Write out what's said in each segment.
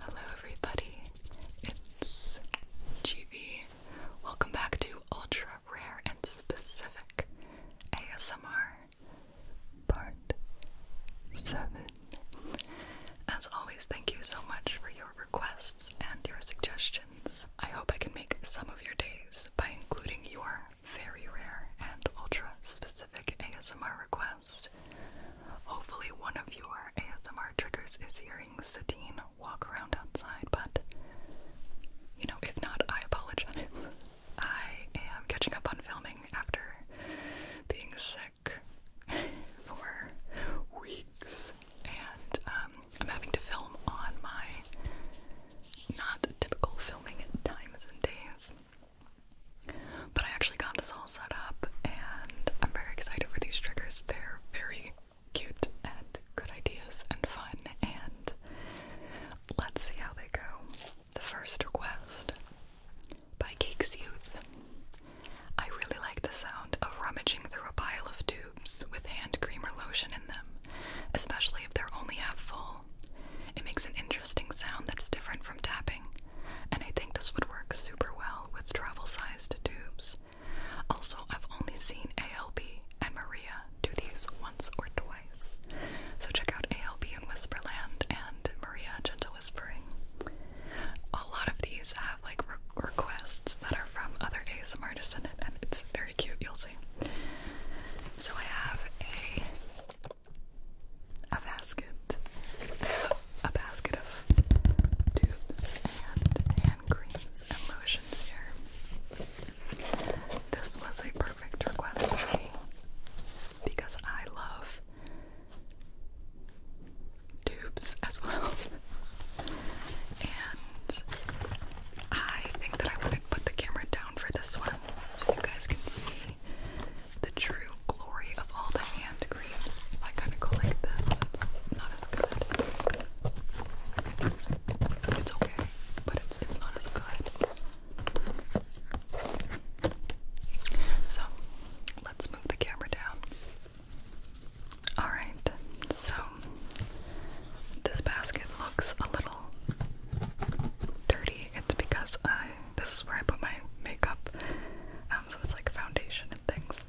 Hello everybody, it's GB. Welcome back to Ultra Rare and Specific ASMR Part 7. As always, thank you so much for your requests and your suggestions. I hope I can make some of your days by including your very rare and ultra specific ASMR requests. Hopefully, one of your ASMR triggers is hearing Satine walk around outside, but you know, if not, I apologize. I am catching up on filming after being sick for weeks, and um, I'm having to film on my not typical filming times and days. But I actually got this all set up and I'm very excited for these triggers. They're very cute and good ideas and fun, and let's see how they go. The first request by Cakes Youth. I really like the sound of rummaging through a pile of tubes with hand cream or lotion in them, especially if they're only half full. It makes an interesting sound that's different from tapping and I think this would work super well with travel-sized tubes. Also, I've only seen ALP and Maria do these once or twice, so check out ALP in Whisperland and Maria Gentle Whispering. A lot of these have like requests that are from other ASMR artists and it's very cute, you'll see. So I have a a basket a basket of tubes and hand creams and lotions here. This was a perfect request for me because I love tubes as well. And I think that I would to put the camera down for this one so you guys can see the true glory of all the hand creams. I kind of go like this. It's not as good. It's okay, but it's it's not as good. So let's move the camera down. Alright, so this basket looks a little dirty. It's because I this is where I put my makeup, um, so it's like foundation and things.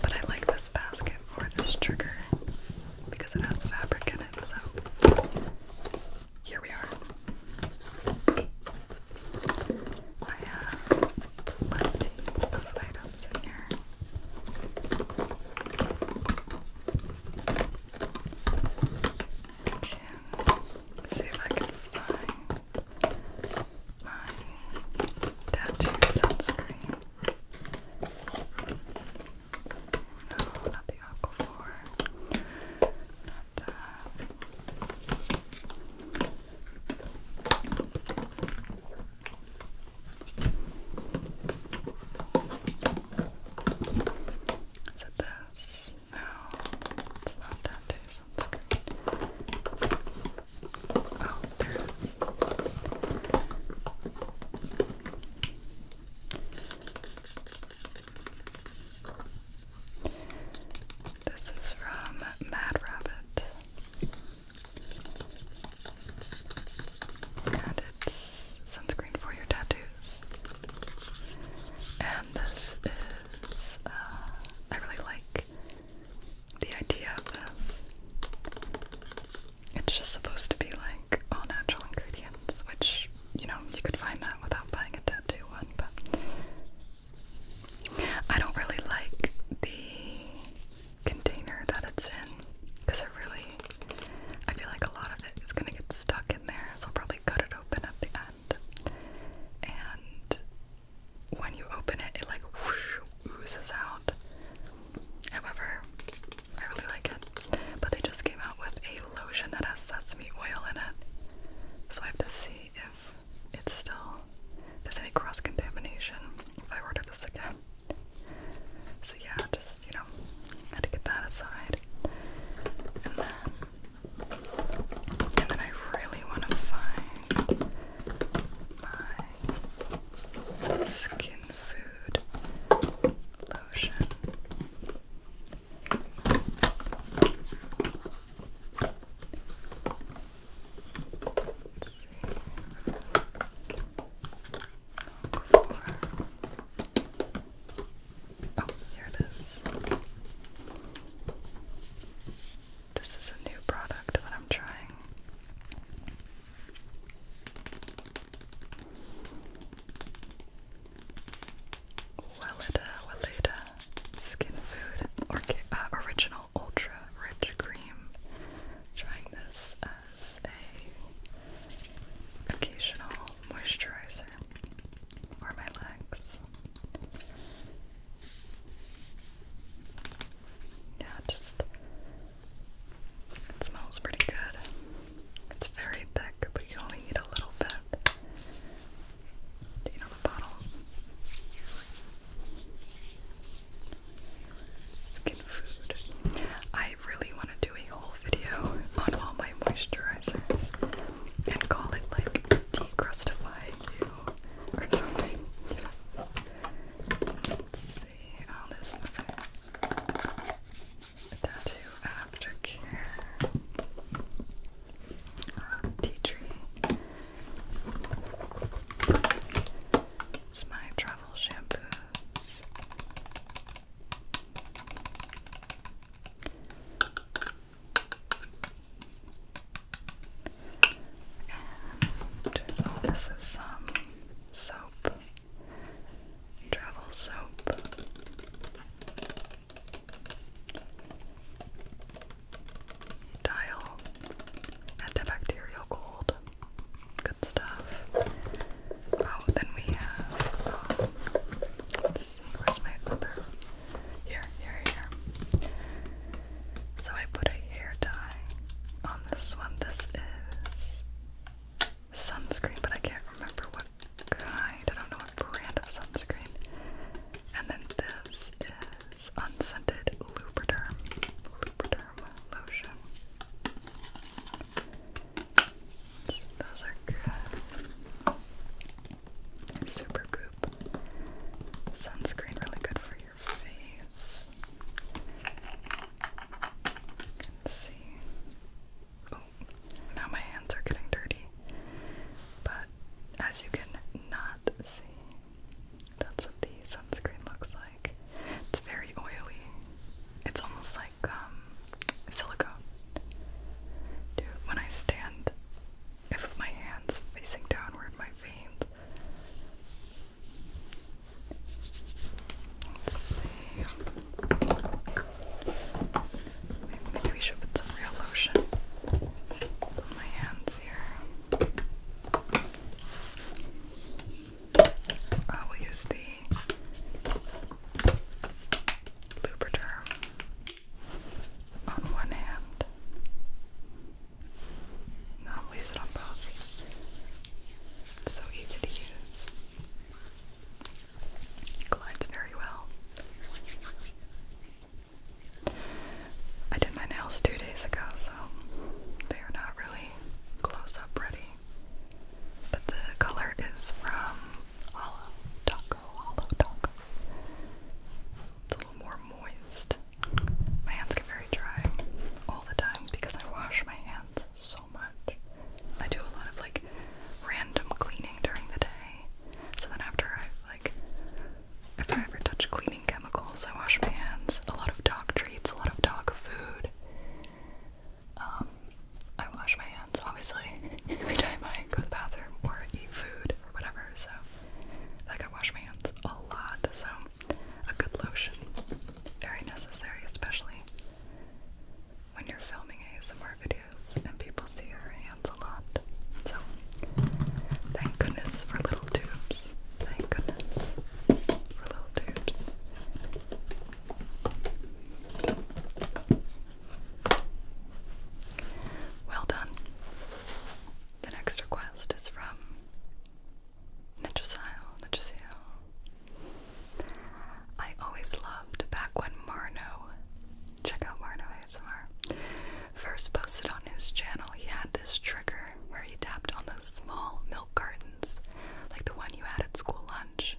But I like this basket for this trigger because it has fabric in it, so here we are. I have plenty of items in here. can see if I can find my tattoo sunscreen. No, not the Aquaphor. Not that. Is it this? No, it's not tattoos. Oh, this is from Mad Rabbit. And it's sunscreen for your tattoos. And this is, uh, I really like the idea of this. It's just supposed to be like all natural ingredients, which, you know, you could find that without buying a tattoo one, but I don't really like the container that it's in because it really, I feel like a lot of it is going to get stuck in there, so I'll probably cut it open at the end. And when you open it, it like oozes out. However, I really like it. But they just came out with a lotion that has sesame oil in it. So I have to see if it's still if there's any cross contamination if I order this again. So yeah, just you know, had to get that aside. And then and then I really wanna find my skin food lotion. Oh, here it is. This is a new product that I'm trying. Weleda Weleda Skin Food uh, Original Ultra Rich Cream. Trying this as a occasional moisturizer for my legs. Yeah, it just it smells pretty good. It's very thick, but you only need a little bit. Do you know the bottle? Skin food. I really want to do a whole video on all my moisturizers and call it like decrustify or something. Let's see. Oh, um, there's another tattoo aftercare. tea tree. It's my travel shampoos. And this is some soap, travel soap. Dial antibacterial gold. Good stuff. Oh, then we have. Um, here, here, here. So I put a hair dye on this one. This is sunscreen, but I can't remember what kind. I don't know what brand of sunscreen. And then this is unscented Lubriderm, Lubriderm lotion. those are good. Super good Sunscreen really good for your face. can see. Oh, now my hands are getting dirty. But as you can not see, that's what the sunscreen looks like. It's very oily. It's almost like um, silicone. Dude, when I stand, if my hands facing downward, my veins Let's see. Maybe we should put some real lotion on my hands here. I uh, will use the Lubriderm on one hand not waste it on both. so easy to use. glides very well. I did my nails two days ago, so they are not really close up ready. But the color is from Hollow Taco, Hollow Taco. It's a little more moist. My hands get very dry all the time because I wash my hands so much. I do a lot of like random cleaning during the day. So then after I've like if I ever touch cleaning chemicals, I wash my hands. A lot of dog treats, a lot of dog food. Um, I wash my hands obviously every time I go to the bathroom or eat food or whatever. So like I wash my hands a lot. So a good lotion. Very necessary, especially when you're filming ASMR videos and people see your hands a lot. So, thank goodness for little tubes. Thank goodness for little tubes. Well done. The next request is from Nitricile, Nitricile. I always loved back when Marno, check out Marno ASMR, first posted on his channel. He had this trigger where he tapped on those small milk cartons, like the one you had at school lunch.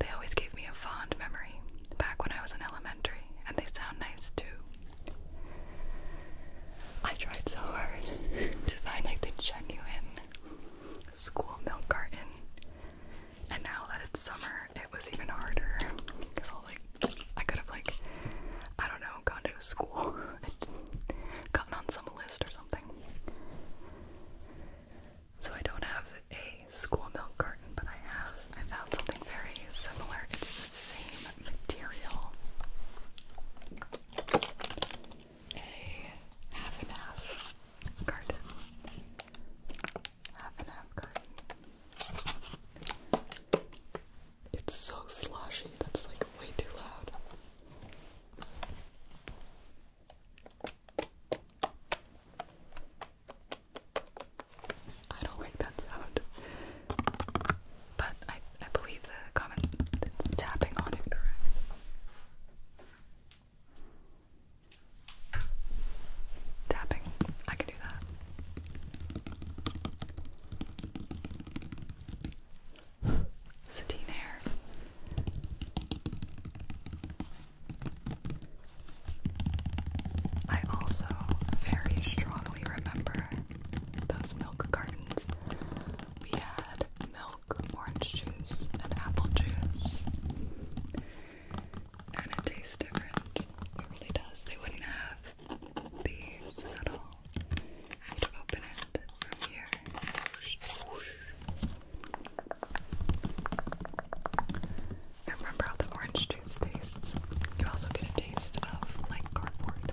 They always gave me a fond memory back when I was in elementary, and they sound nice too. I tried so hard to find like the genuine school milk carton, and now that it's summer, it was even harder because I'll like I could have like I don't know gone to school and gotten on some list or something. So I don't have a school milk carton, but I have I found something very similar. It's the same material. A half and half garden. Half and half garden. It's so sloshy, that's like way too loud. I don't like that sound but I, I believe the comment is tapping on it, correct? Tapping. I can do that. Satine hair. I also very strongly remember those milk cartons, we had milk, orange juice, and apple juice. And it tastes different. It really does. They wouldn't have these at all. I have to open it from here. I remember how the orange juice tastes. You also get a taste of like cardboard.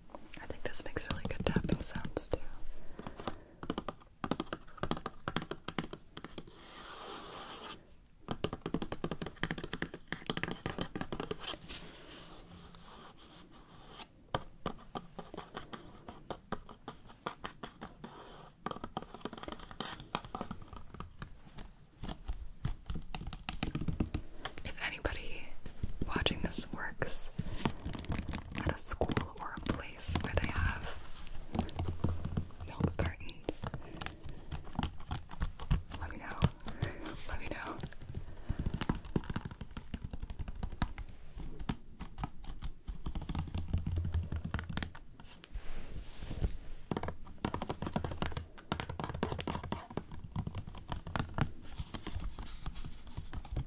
I think this makes really good tapping sounds too. If anybody watching this works at a school or a place where they have milk cartons. Let me know. Let me know.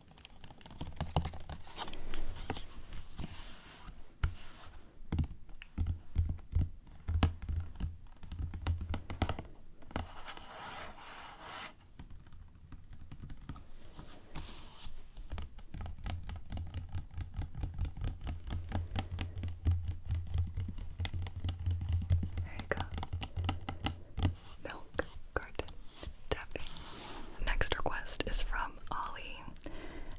There you go. Milk garden. The next request is from Ali,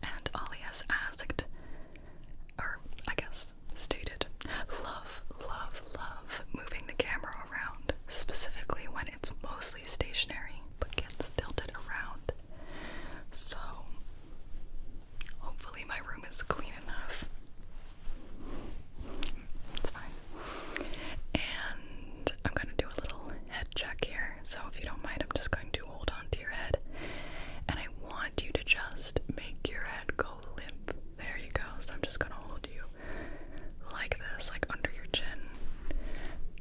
and Ali has asked, or I guess stated, love, love, love moving the camera around, specifically when it's mostly stationary but gets tilted around. So, hopefully, my room is clean enough. It's fine. And I'm gonna do a little head check here. So if you don't mind, I'm just going to hold on to your head. And I want you to just make your head go limp. There you go. So I'm just going to hold you like this, like under your chin.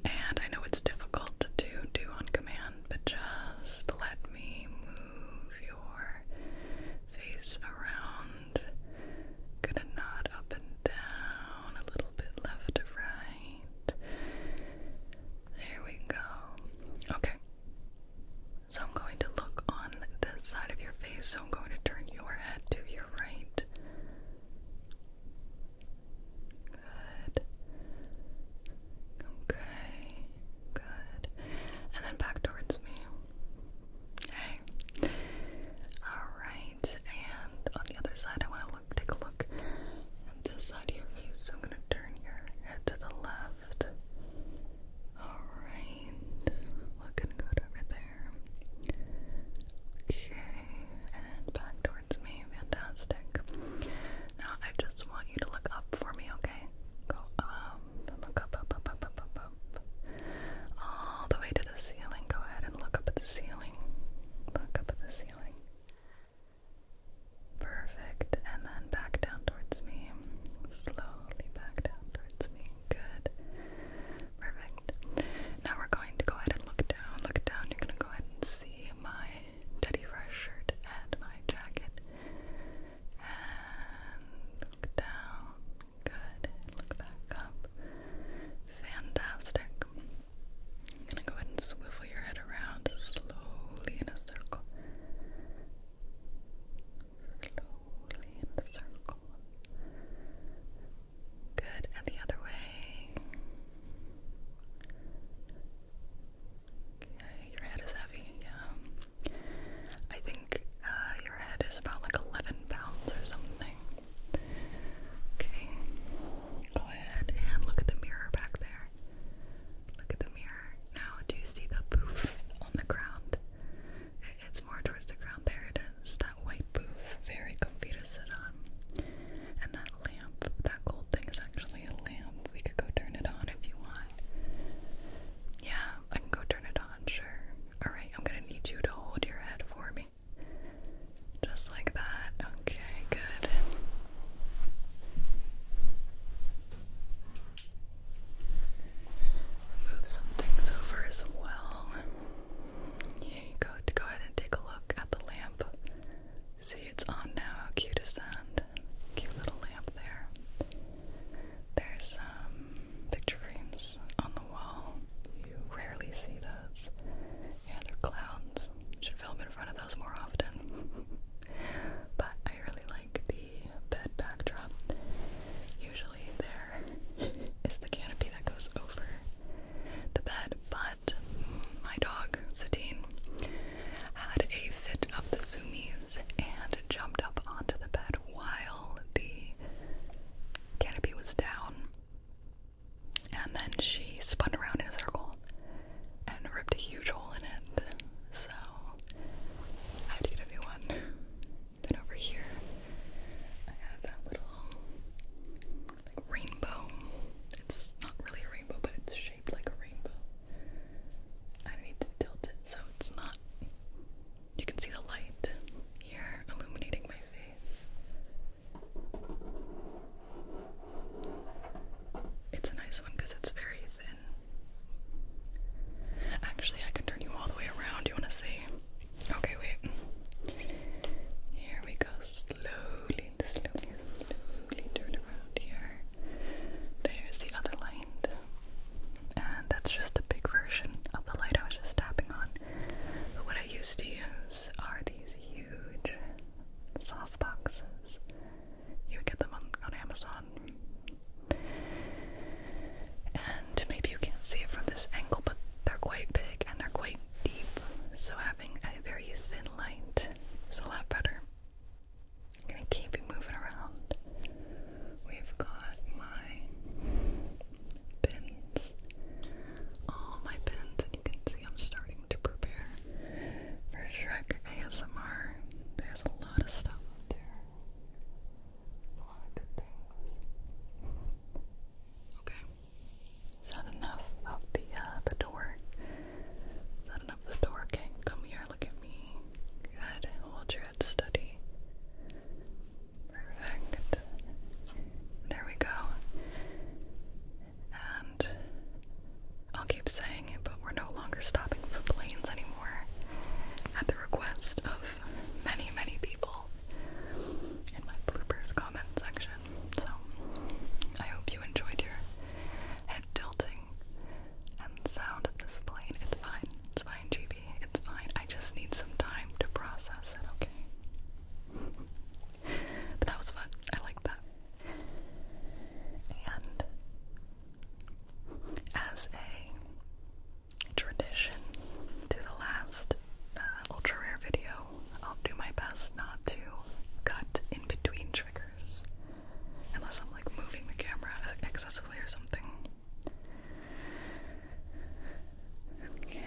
And I know it's difficult to do on command, but just let me move your face around. Gonna nod up and down, a little bit left to right. There we go. Okay. So I'm going to look on the side of your face. So I'm going to turn your head to your right. Good. Okay. Good. And then back towards me. Okay. All right and on the other side, I want to look, take a look at this side of your face. So I'm gonna turn your head to the left. Alright, looking good over there. Okay, and back towards me. Fantastic. Now I just want you to look up for me, okay? Go up, look up, up, up, up, up, up, up. All the way to the ceiling. Go ahead and look up at the ceiling. Look up at the ceiling. Perfect. And then back down towards me. Slowly back down towards me. Good. Perfect. Now we're going to go ahead and look down. Look down. You're going to go ahead and see my Teddy Fresh shirt and my jacket. And look down. Good. Look back up. Fantastic. I'm gonna go ahead and swivel your head around slowly in a circle. Slowly in a circle. Good, and the other way. Okay, your head is heavy, yeah. I think uh, your head is about like 11 pounds or something. Okay, go ahead and look at the mirror back there. Look at the mirror. Now, do you see the poof on the ground? It's more towards the ground. There it is. That white poof. Very comfy to sit on. And that lamp, that gold thing is actually a lamp. We could go turn it on if you want. Yeah, I can go turn it on, sure. Alright, I'm gonna need you to hold your head for me. Just like that. Okay, good. Move some things over as well. Here go. Go ahead and take a look at the lamp. See, it's on now. How cute is that? Cute little lamp there. There's some um, picture frames on the wall. You rarely see those. Yeah, they're clowns. Should film in front of those more often. but I really like the bed backdrop. Usually there is the canopy that goes over the bed, but my dog, Satine, had a fit of the zoomies and jumped up onto the bed while the canopy was down. And then she spun around in a circle and ripped a huge hole in it. So I had a new one. Then over here, I have that little like rainbow. It's not really a rainbow, but it's shaped like a rainbow. I need to tilt it so it's not. You can see the light here illuminating my face. It's a nice one because it's very thin. Actually, I can turn you all the way around. You want to see? Okay, wait. Here we go. Slowly, slowly, slowly turn around here. There's the other light. And that's just a big version of the light I was just tapping on. what I used to use are these huge soft boxes. You get them on, Amazon. And maybe you can't see it from this angle, but they're quite big and they're quite deep. So having a very thin light is a lot better. I'm gonna keep you moving around. We've got my pins. All my pins, and you can see I'm starting to prepare for Shrek ASMR. There's a lot of stuff up there. A lot of good things. Okay. Is that enough of the uh, the door? Is that enough of the door? Okay, come here, look at me. Good. Hold your head steady. Perfect. There we go. And I'll keep saying it, but we're no longer stopping for planes anymore at the request of many, many people in my bloopers comment section. So I hope you enjoyed your head tilting and sound of this plane. It's fine. It's fine, GB. It's fine. I just need some time to process it, okay? But that was fun. I liked that. And as a tradition to the last uh, ultra rare video, I'll do my best not to cut in between triggers unless I'm like moving the camera excessively or something. Okay.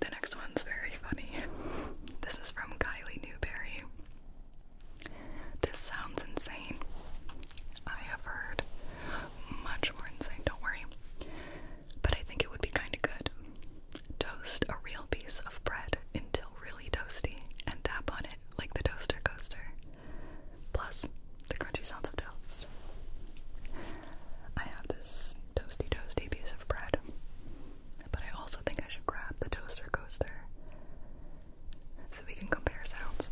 The next one's very funny. This is from Kylie Newberry. This sounds insane. I have heard much more insane, don't worry. But I think it would be kind of good. Toast a real piece of bread until really toasty and tap on it like the toaster coaster. Plus, the crunchy sounds of toast. I have this toasty, toasty piece of bread. But I also think I should grab the toaster coaster so we can compare sounds.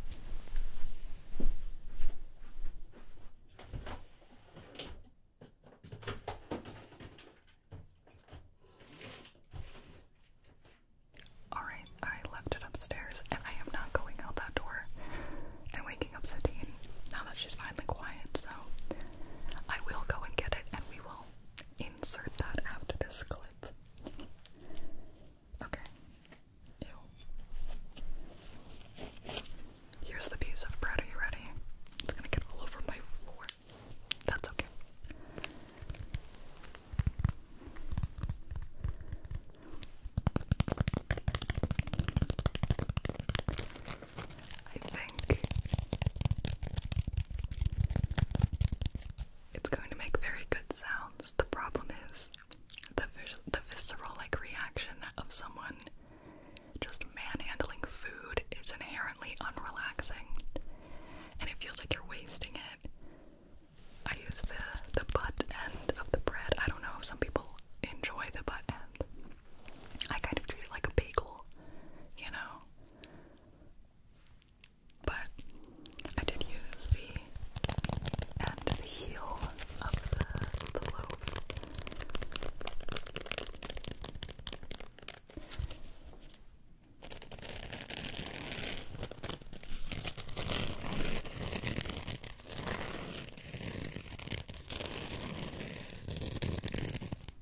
Alright, I left it upstairs and I am not going out that door and waking up Satine now that she's finally quiet, so I will go and get it and we will insert that after this clip. Okay. Ew. Here's the piece of bread. Are you ready? It's gonna get all over my floor. That's okay. I think it's going to make very good sounds. The problem is the the visceral like reaction of someone just manhandling food is inherently unrelaxing, and it feels like you're wasting it. I use the the butt end of the bread. I don't know if some people enjoy the butt end. I kind of treat it like a bagel, you know. But I did use the end of the heel of the loaf.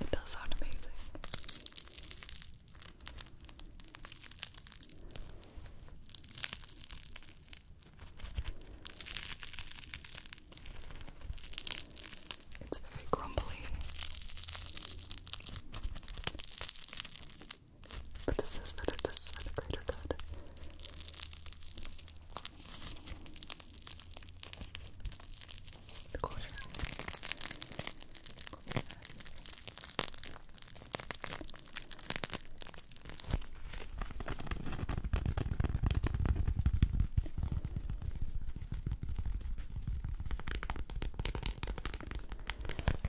It does sound amazing. It's very grumbly. But this is for the, this for the greater Close your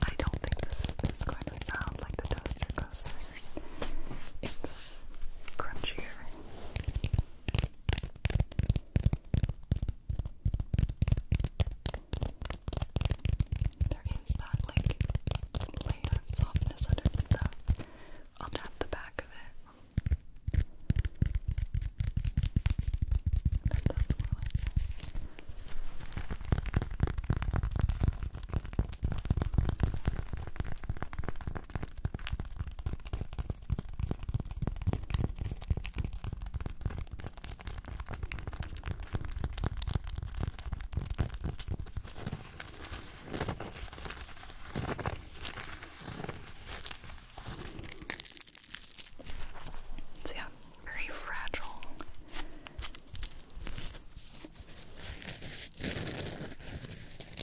I don't think this is going to sound like the toaster coaster. It's less crunchier. There is that like layer of softness underneath though. I'll tap the back of it. So yeah, very fragile.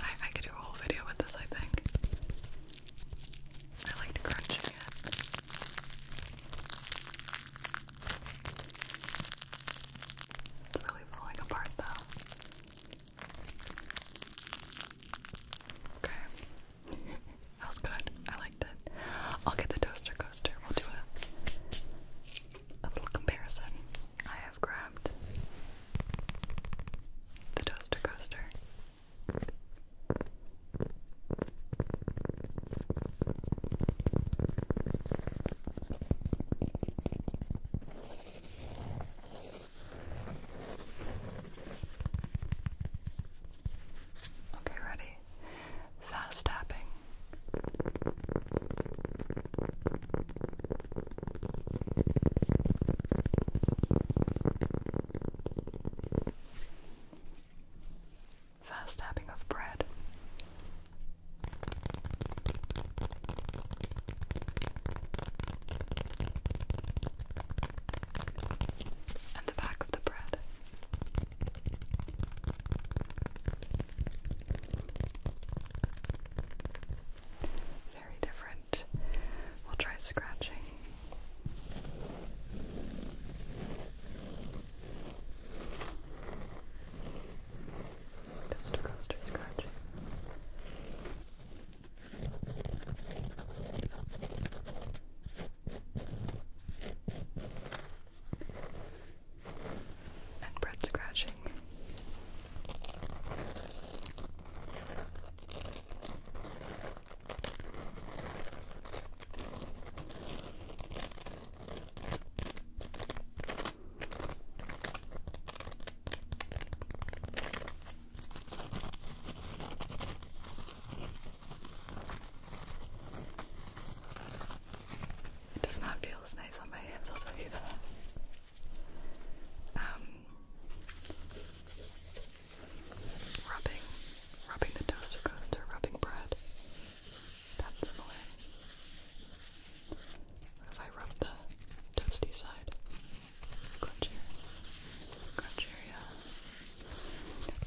I, I could do a whole video with this, I think. I like crunching it. It's really falling apart though. Okay. that was good. I liked it. I'll get the toaster coaster. We'll do a, a little comparison. I have grabbed the toaster coaster. Okay, ready? Fast tapping. First tapping of bread. And the back of the bread very different. We'll try scratching. Just coaster scratching. And bread scratching. It does not feel as nice on my hands, I'll you um, rubbing, rubbing the toaster coaster, rubbing bread. That's similar. What if I rub the toasty side? Crunchier. Crunchier,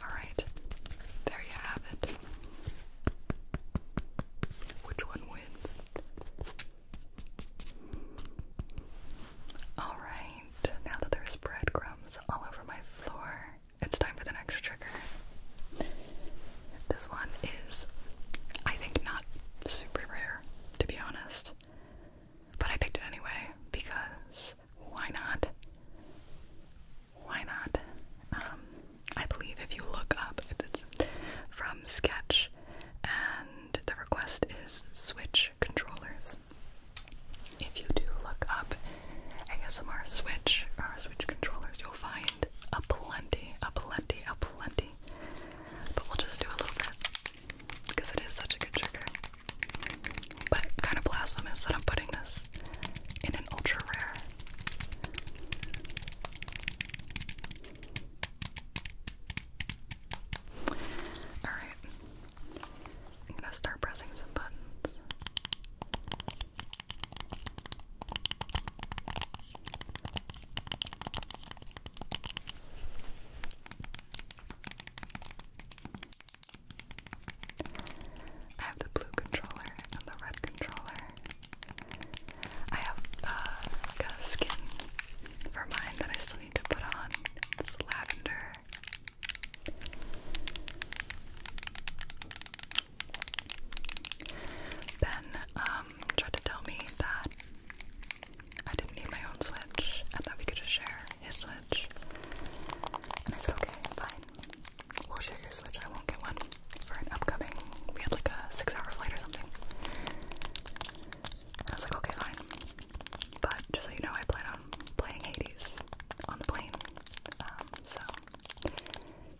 Alright, there you have it. Which one wins? Alright, now that there's breadcrumbs all over my floor, it's time for the next trigger. This one is, I think, not super rare, to be honest. But I picked it anyway, because why not? Why not? Um, I believe if you look up, it's from Sketch and the request is Switch controllers. If you do look up ASMR Switch or uh, Switch controllers, you'll find a plenty, a plenty, a plenty. But we'll just do a little bit because it is such a good trigger. But kind of blasphemous that I'm putting this in an ultra rare. Alright, I'm gonna start pressing some buttons. I have the blue controller and the red controller. I have uh, a skin for mine that I to put on this lavender. Ben um, tried to tell me that I didn't need my own Switch and that we could just share his Switch. And I said, okay, fine. We'll share your Switch. I won't get one for an upcoming. We had like a six hour flight or something. I was like, okay, fine. But just so you know, I plan on playing Hades on the plane. Um, so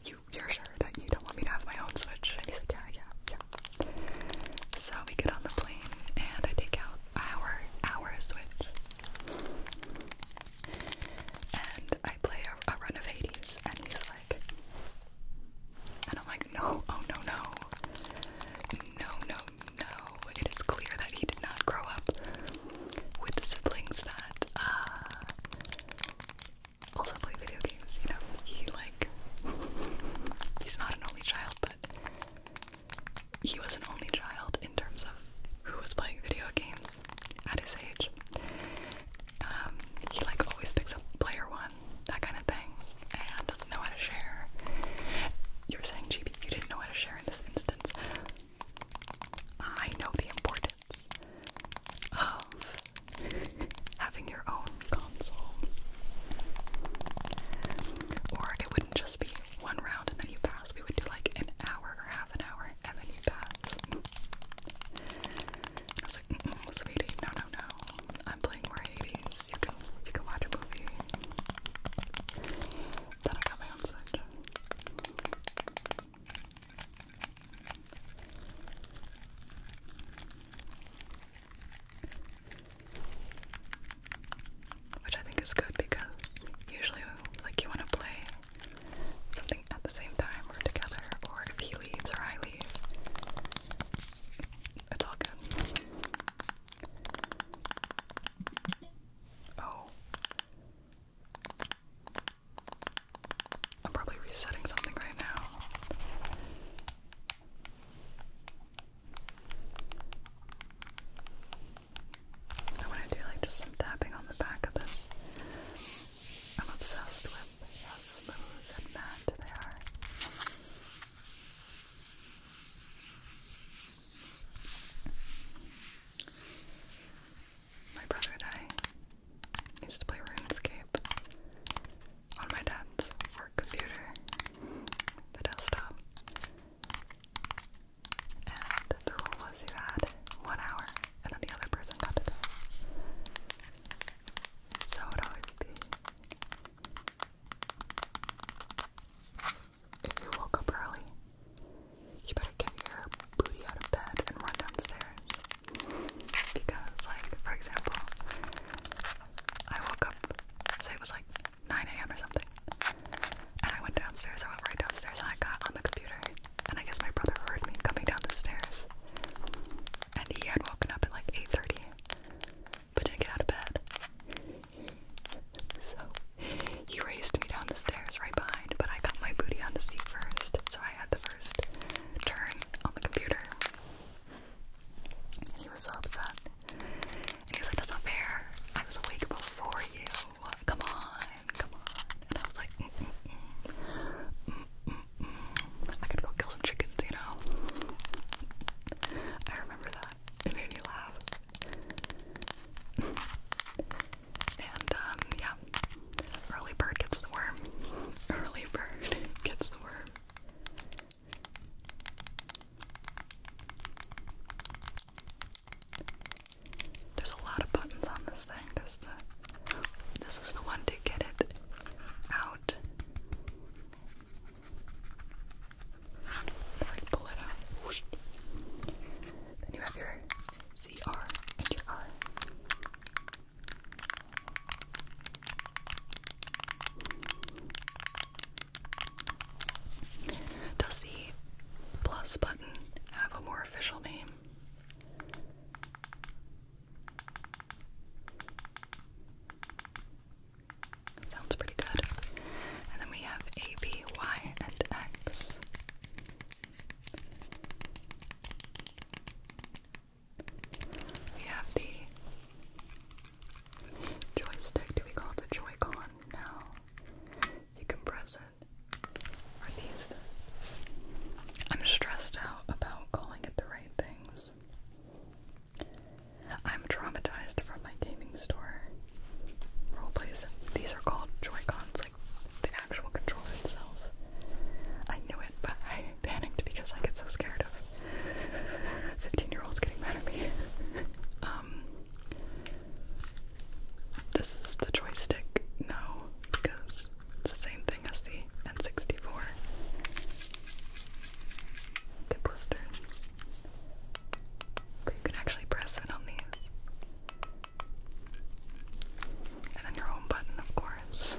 you you're sure that you don't want me to have my own Switch? And he's like, yeah, yeah, yeah. So we get on the plane and I take out our our Switch. And I play a, a run of Hades, and he's like, I don't like like, no, oh no, no. No, no, no. It is clear that he did not grow up with siblings that uh, also play video games, you know. He, like, he's not an only child, but he was an only child in terms of who was playing video games at his age. Um, he like always picks up player one on, that kind of thing, and doesn't know how to share. You're saying, GB, you didn't know how to share in this instance. I know the importance of having your own console. Or it wouldn't just be one round and then you pass. We would do like an hour or half an hour and then you pass. I was like, sweetie, no, no, no. I'm playing more 80s. You can you can watch a movie. Then I got my own Switch. Which I think is good because usually, like, you want to play something at the same time or together, or if he leaves or I leave, it's all good. Oh. I'm probably resetting something right now. I want to do like just some tapping on the back of this. I'm obsessed with how smooth and matte they are. My brother and I used to play RuneScape on my dad's work computer, the desktop. And the rule was you had one hour and then the other person got to So it always be if you woke up early, you better get your booty out of bed and run downstairs. Because, like, for example, I woke up, say it was like 9 a.m. or something, and I went downstairs, I went right downstairs, and I got on the computer, and I guess my brother heard me coming downstairs, and he had woken up at like 8.30, but did get out of bed. So he raced me down the stairs right behind, but I got my booty on the seat first, so I had the first turn on the computer. he was so upset. And he was like, That's not fair. I was awake before you. Come on, come on. And I was like, mm -mm -mm. mm, mm, mm. go kill some chickens, you know? I remember that. It made me laugh. and um, yeah, early bird gets the worm. Early bird gets the worm. There's a lot of buttons on this thing. This, this is the one to get it out. Like pull it out. Then you have your CR and your R. Does the plus button have a more official name? Sounds pretty good. And then we have A, B, Y, and X. We have the joystick. Do we call it the Joy-Con now? You can press it. Are these? I'm stressed out about calling it the right things. I'm traumatized from my gaming store role roleplays. These are called Joy-Cons, like the actual controller itself. I knew it, but I panicked because I get so scared of 15 year olds getting mad at me. um, this is the joystick no, because it's the same thing as the N64. The blister. But you can actually press it on these. And then your home button, of course.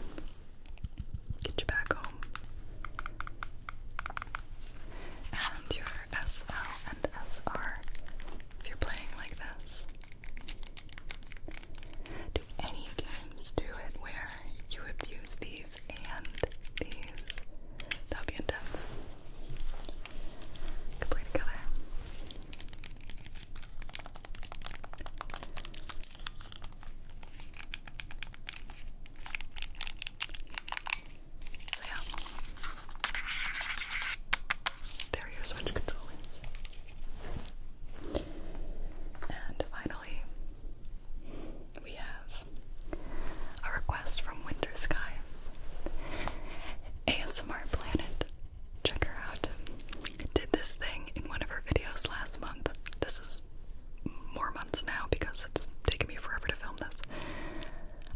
Get you back home. And your SL and SR if you're playing like this. Do any games do it where you abuse these and these. That'll be intense. Could play together. So yeah. There are your switch controllers. And finally, we have a request from Winter Skies. ASMR Planet, check her out, did this thing in one of her videos last month. This is more months now because it's taken me forever to film this.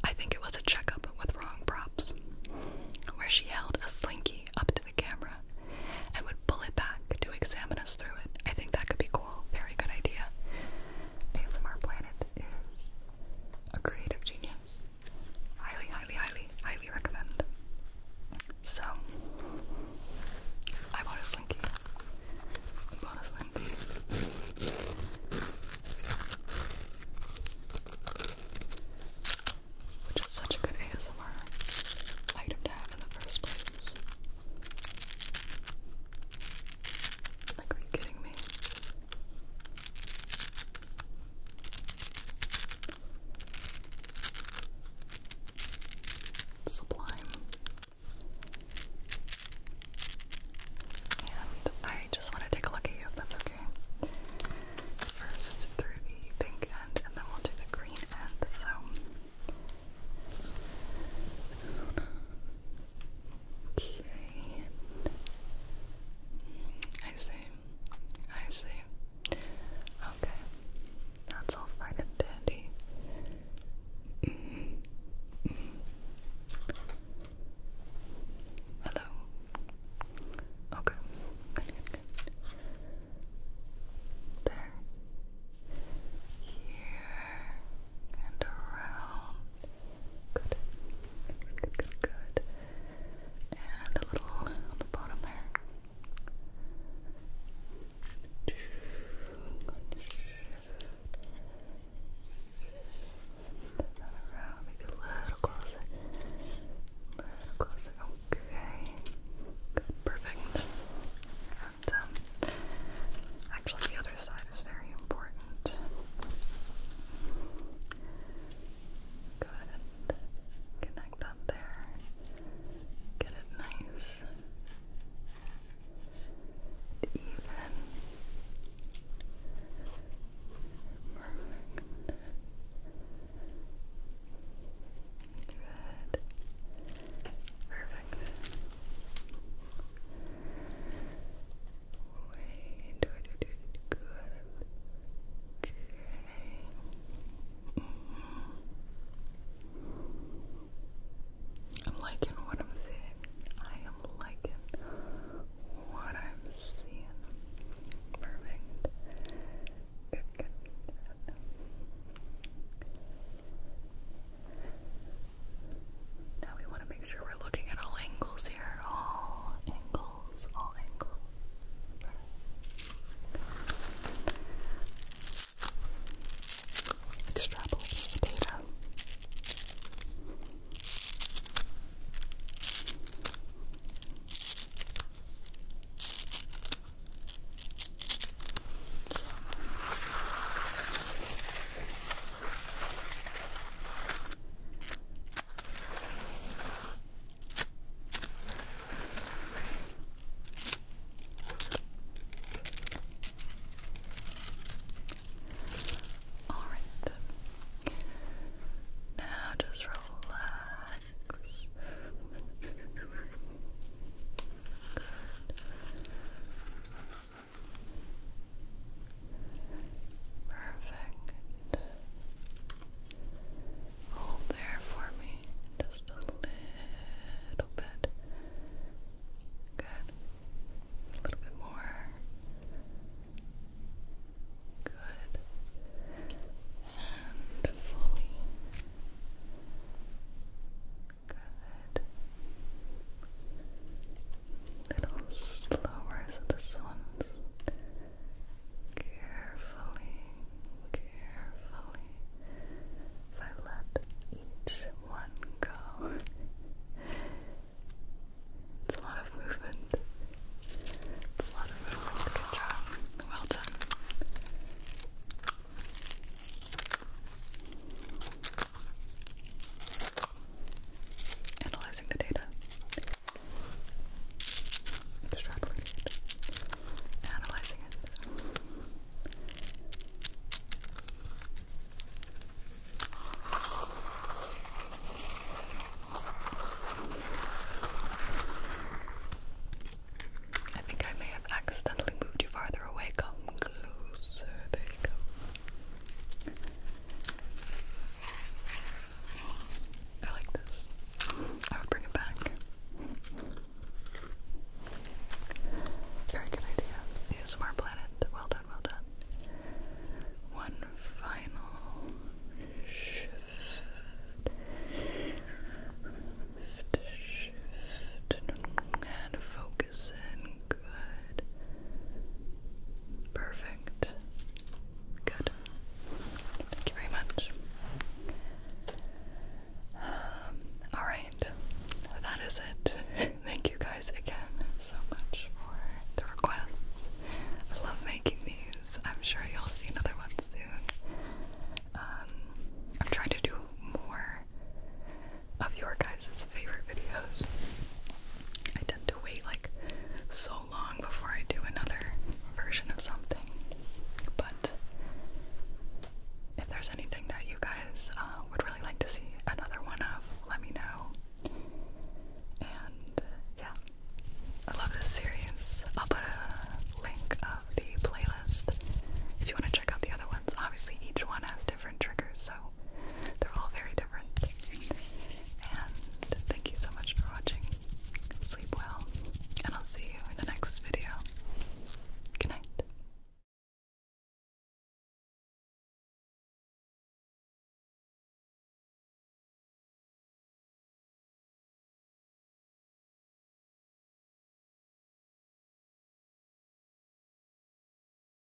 I think it was a checkup with wrong props, where she held a slinky up to the camera and would pull it back to examine us through it. I think that could be cool. Very good idea. ASMR Planet is a creative genius. Highly, highly, highly, highly recommend. So, I bought a slinky. I bought a slinky. Which is such a good ASMR item to have in the first place. Like, are you kidding me? Sublime. And I just want to take a look at you that's okay. First through the pink end, and then we'll do the green end. So. Okay. I see. I see. Okay. That's all fine and dandy. Hello. Okay. There. Here and around. Good. Good, And a little on the bottom there. Around, maybe a little closer. closer. Okay. Good. Perfect. Um, actually the other side is very important. Good. Connect that there. Get it nice. even. Perfect. Good. Perfect. Wait, do good. Okay. I'm liking what I'm seeing. I am liking what I'm seeing. Perfect. good. Now we want to make sure we're looking at all angles here. All angles, all angles. Extrapolate data. All right. Now just relax. Good. Perfect. Hold there for me just a little bit. Good. A little bit more. Good. And fully. Good. A little slower, so this one's carefully, carefully. If I let each one go, it's a lot of movement. It's a lot of movement. Good job. Well done. Analyzing the data. Extrapolating it. Analyzing it. I think I may have accidentally moved you farther away. Come closer. There you go. I like this. I would bring it back. Very good idea. ASMR Planet. Well done, well done. One final shift. shift. shift. And focus in. Good. Perfect. Good. Thank you very much. Um, Alright, that is it. Thank you guys again so much for the requests. I love making these. I'm sure you'll see another one soon. Um, I'm trying to do more of your guys' favorite videos. I tend to wait like so long before I do another version of something. But if there's anything that you guys uh, would really like to see another one of, let me know. And yeah, I love this series. I'll put a link of the playlist if you want to check out the other ones. Obviously, each one has different triggers, so they're all very different. And thank you so much for watching. Sleep well, and I'll see you in the next video. Good night.